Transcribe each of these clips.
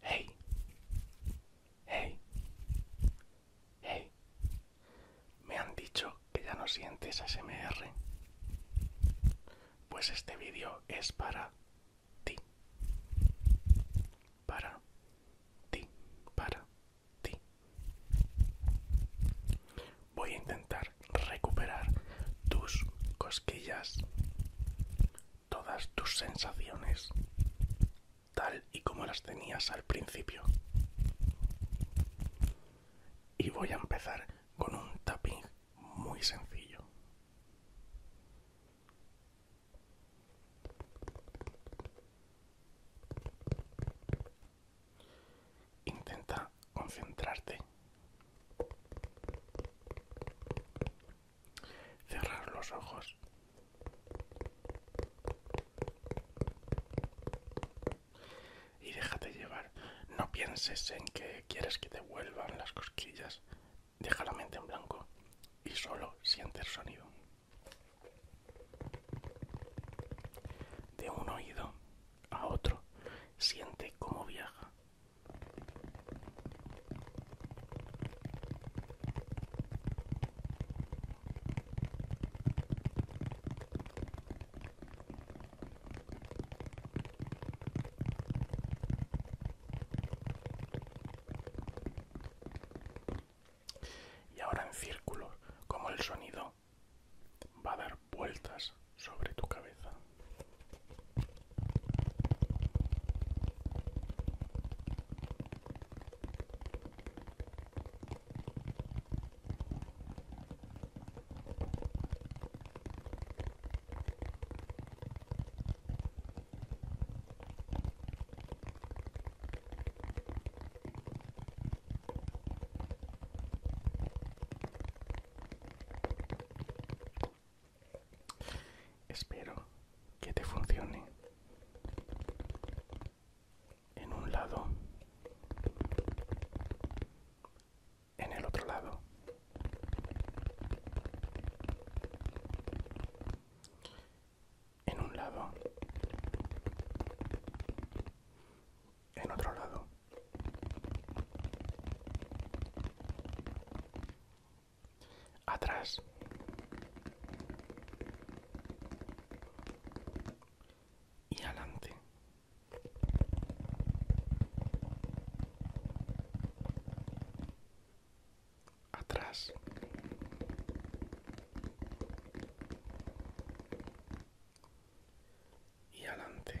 Hey, hey, hey, me han dicho que ya no sientes ASMR. Pues este vídeo es para ti, para ti, para ti voy a intentar recuperar tus cosquillas, todas tus sensaciones, tal y como las tenías al principio. Y voy a empezar con un tapping muy sencillo. Intenta concentrarte. Cerrar los ojos. Y déjate llevar. No pienses en que quieres que te vuelvan las cosquillas. Deja la mente en blanco y solo siente el sonido. De un oído a otro. Siente cómo viaja. Y ahora en círculos, como el sonido va a dar vueltas sobre tu cabeza. Espero que te funcione en un lado, en el otro lado. En un lado en otro lado. Atrás. Y adelante. Atrás y adelante.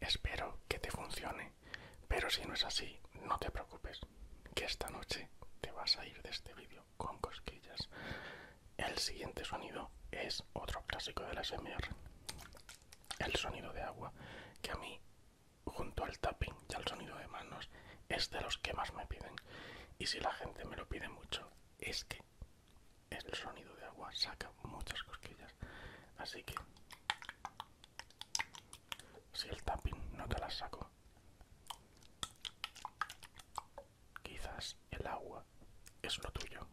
Espero que te funcione, pero si no es así, no te preocupes, que esta noche te vas a ir de este vídeo con cosquillas el siguiente sonido es otro clásico de la SMR. El sonido de agua, que a mí, junto al tapping y al sonido de manos, es de los que más me piden. Y si la gente me lo pide mucho, es que el sonido de agua saca muchas cosquillas. Así que, si el tapping no te las saco, quizás el agua es lo tuyo.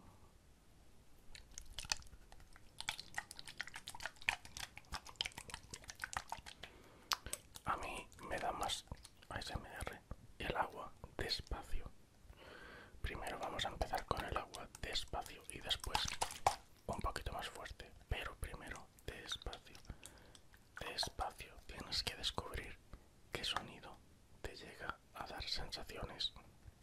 A mí me da más ASMR el agua despacio. Primero vamos a empezar con el agua despacio y después un poquito más fuerte, pero primero despacio. Despacio tienes que descubrir qué sonido te llega a dar sensaciones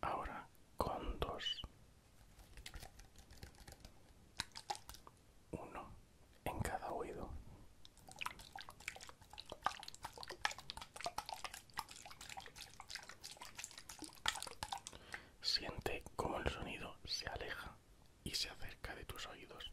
Ahora con dos. Uno en cada oído. Siente cómo el sonido se aleja y se acerca de tus oídos.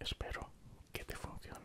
Espero que te funcione.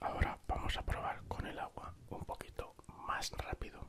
Ahora vamos a probar con el agua un poquito más rápido.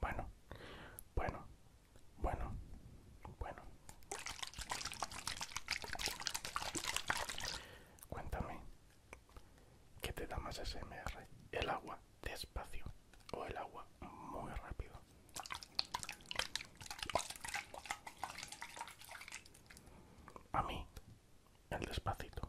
Bueno, bueno, bueno, bueno. Cuéntame, ¿qué te da más SMR? ¿El agua despacio o el agua muy rápido? A mí, el despacito.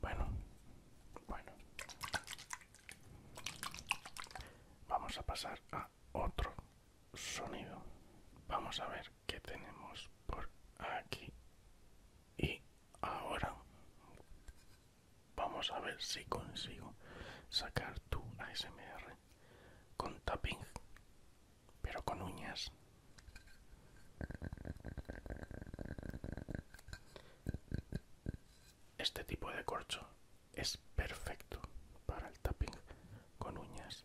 Bueno, bueno. Vamos a pasar a otro sonido. Vamos a ver que tenemos por aquí y ahora vamos a ver si consigo sacar tu ASMR con tapping pero con uñas este tipo de corcho es perfecto para el tapping con uñas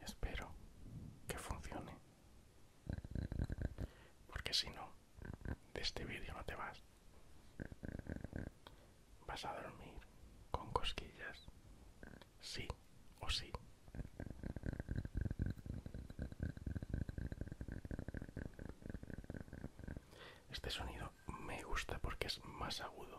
Espero que funcione. Porque si no, de este vídeo no te vas. Vas a dormir con cosquillas. Sí o sí. Este sonido me gusta porque es más agudo.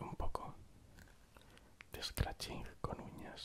un poco de scratching con uñas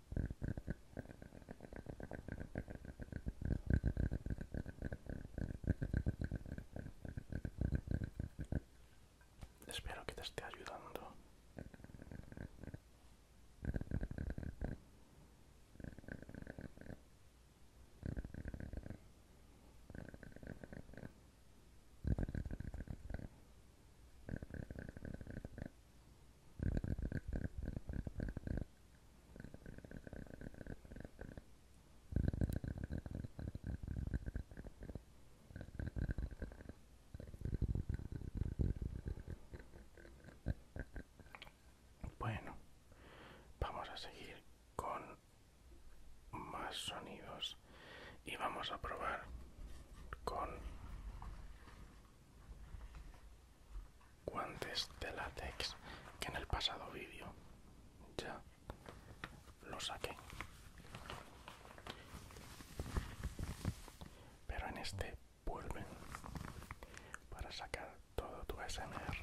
Espero que te esté ayudando. Bueno, vamos a seguir con más sonidos y vamos a probar con guantes de látex que en el pasado vídeo ya lo saqué pero en este vuelven para sacar todo tu SMR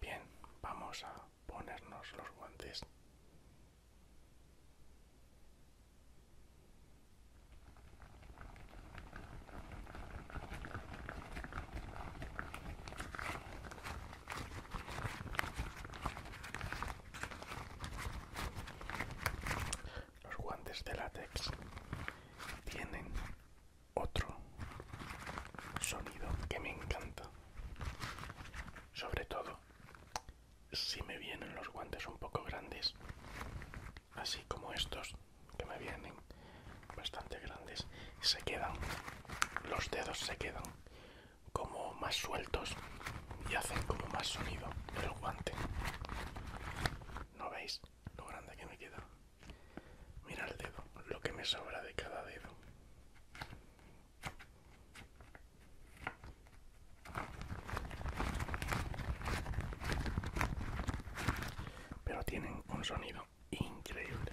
Bien, vamos a ponernos los guantes. Los guantes de látex tienen otro sonido que me encanta. Sobre todo si me vienen los guantes un poco grandes, así como estos que me vienen bastante grandes, se quedan, los dedos se quedan como más sueltos y hacen como más sonido el guante. ¿No veis lo grande que me queda? Mira el dedo, lo que me sobra de cada dedo. Pero tienen un sonido increíble.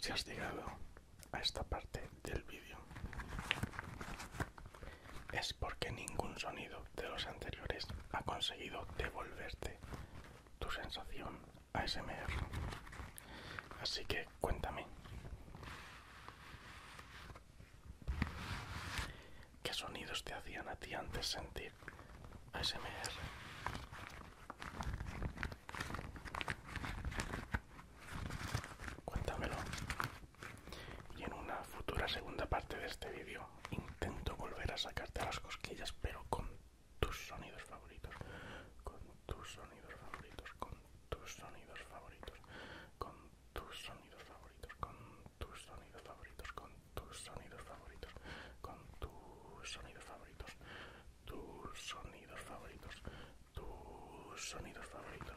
Si has llegado a esta parte del vídeo es porque ningún sonido de los anteriores ha conseguido devolverte tu sensación ASMR. Así que cuéntame. ¿Qué sonidos te hacían a ti antes sentir ASMR. Cuéntamelo. Y en una futura segunda parte de este vídeo intento volver a sacarte las cosquillas, pero con tus sonidos favoritos, con tus sonidos favoritos, con tus sonidos favoritos, con tus sonidos favoritos, con tus sonidos favoritos, tus sonidos favoritos, con tus sonidos favoritos, tus sonidos favoritos, tus sonidos favoritos.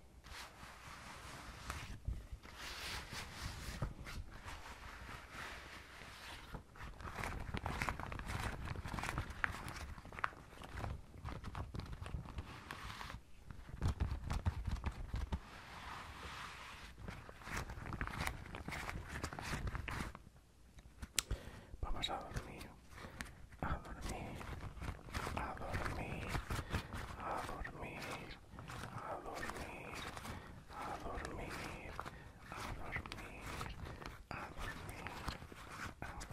Vamos a dormir, a dormir, a dormir, a dormir a dormir, a dormir, a dormir, a dormir, a dormir.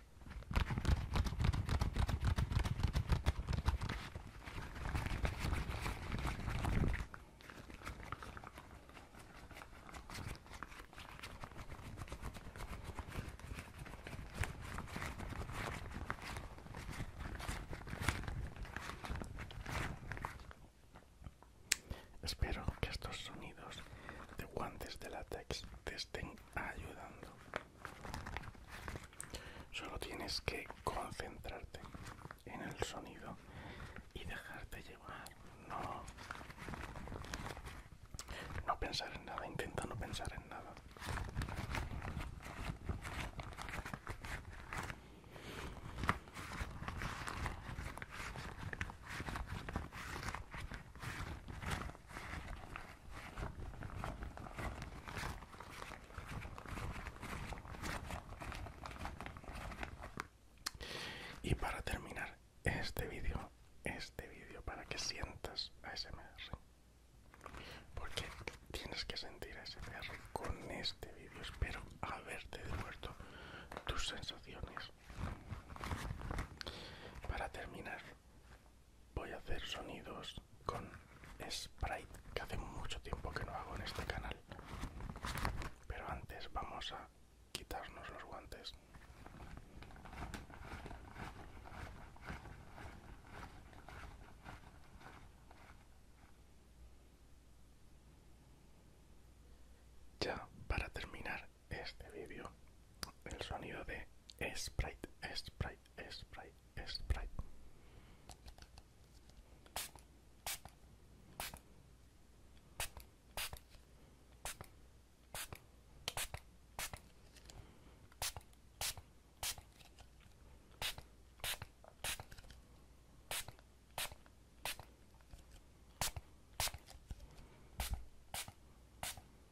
Espero que estos sonidos de guantes de látex te estén ayudando. Solo tienes que concentrarte en el sonido y dejarte llevar. No, no pensar en nada, intenta no pensar en nada. Y para terminar este vídeo, este vídeo para que sientas ASMR. Porque tienes que sentir ASMR con este vídeo. Espero haberte devuelto tus sensaciones para terminar, voy a hacer sonidos con Sprite, que hace mucho tiempo que no hago en este canal. Pero antes vamos a quitarnos los guantes. Ya para terminar este vídeo el sonido de Sprite, Sprite, Sprite, Sprite.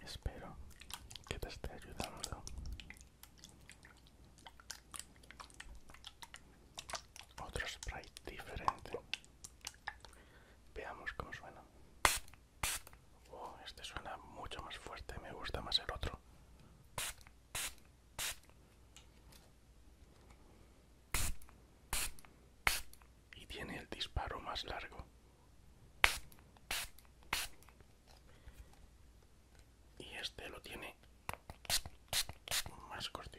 Espero que te esté ayudando. Otro sprite diferente. Veamos cómo suena. Oh, este suena mucho más fuerte, me gusta más el otro. Y tiene el disparo más largo y este lo tiene más cortito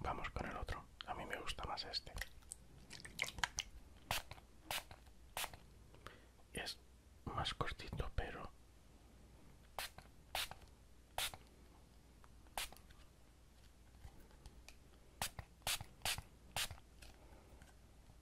Vamos con el otro. A mí me gusta más este. Es más cortito, pero...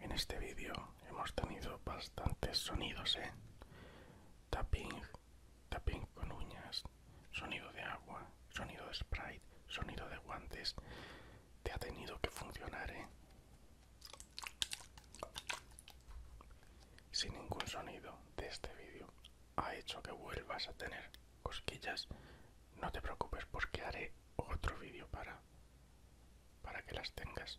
En este vídeo hemos tenido bastantes sonidos, ¿eh? Tapping, tapping con uñas, sonido de agua, sonido de sprite, sonido de guantes. Te ha tenido que funcionar, ¿eh? Si ningún sonido de este vídeo ha hecho que vuelvas a tener cosquillas, no te preocupes porque haré otro vídeo para, para que las tengas.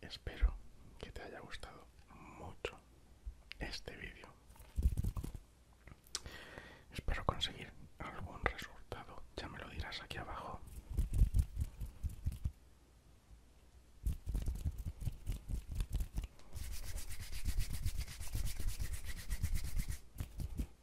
Espero que te haya gustado mucho este vídeo. Espero conseguir algún resultado, ya me lo dirás aquí abajo.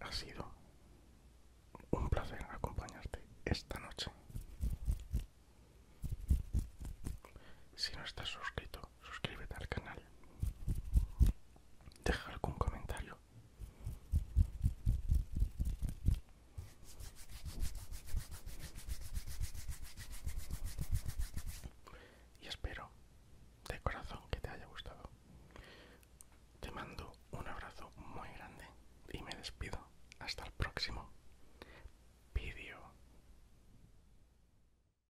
ha sido un placer acompañarte esta noche. Si no estás suscrito, suscríbete al canal, deja algún comentario. Y espero de corazón que te haya gustado. Te mando un abrazo muy grande y me despido hasta el próximo vídeo.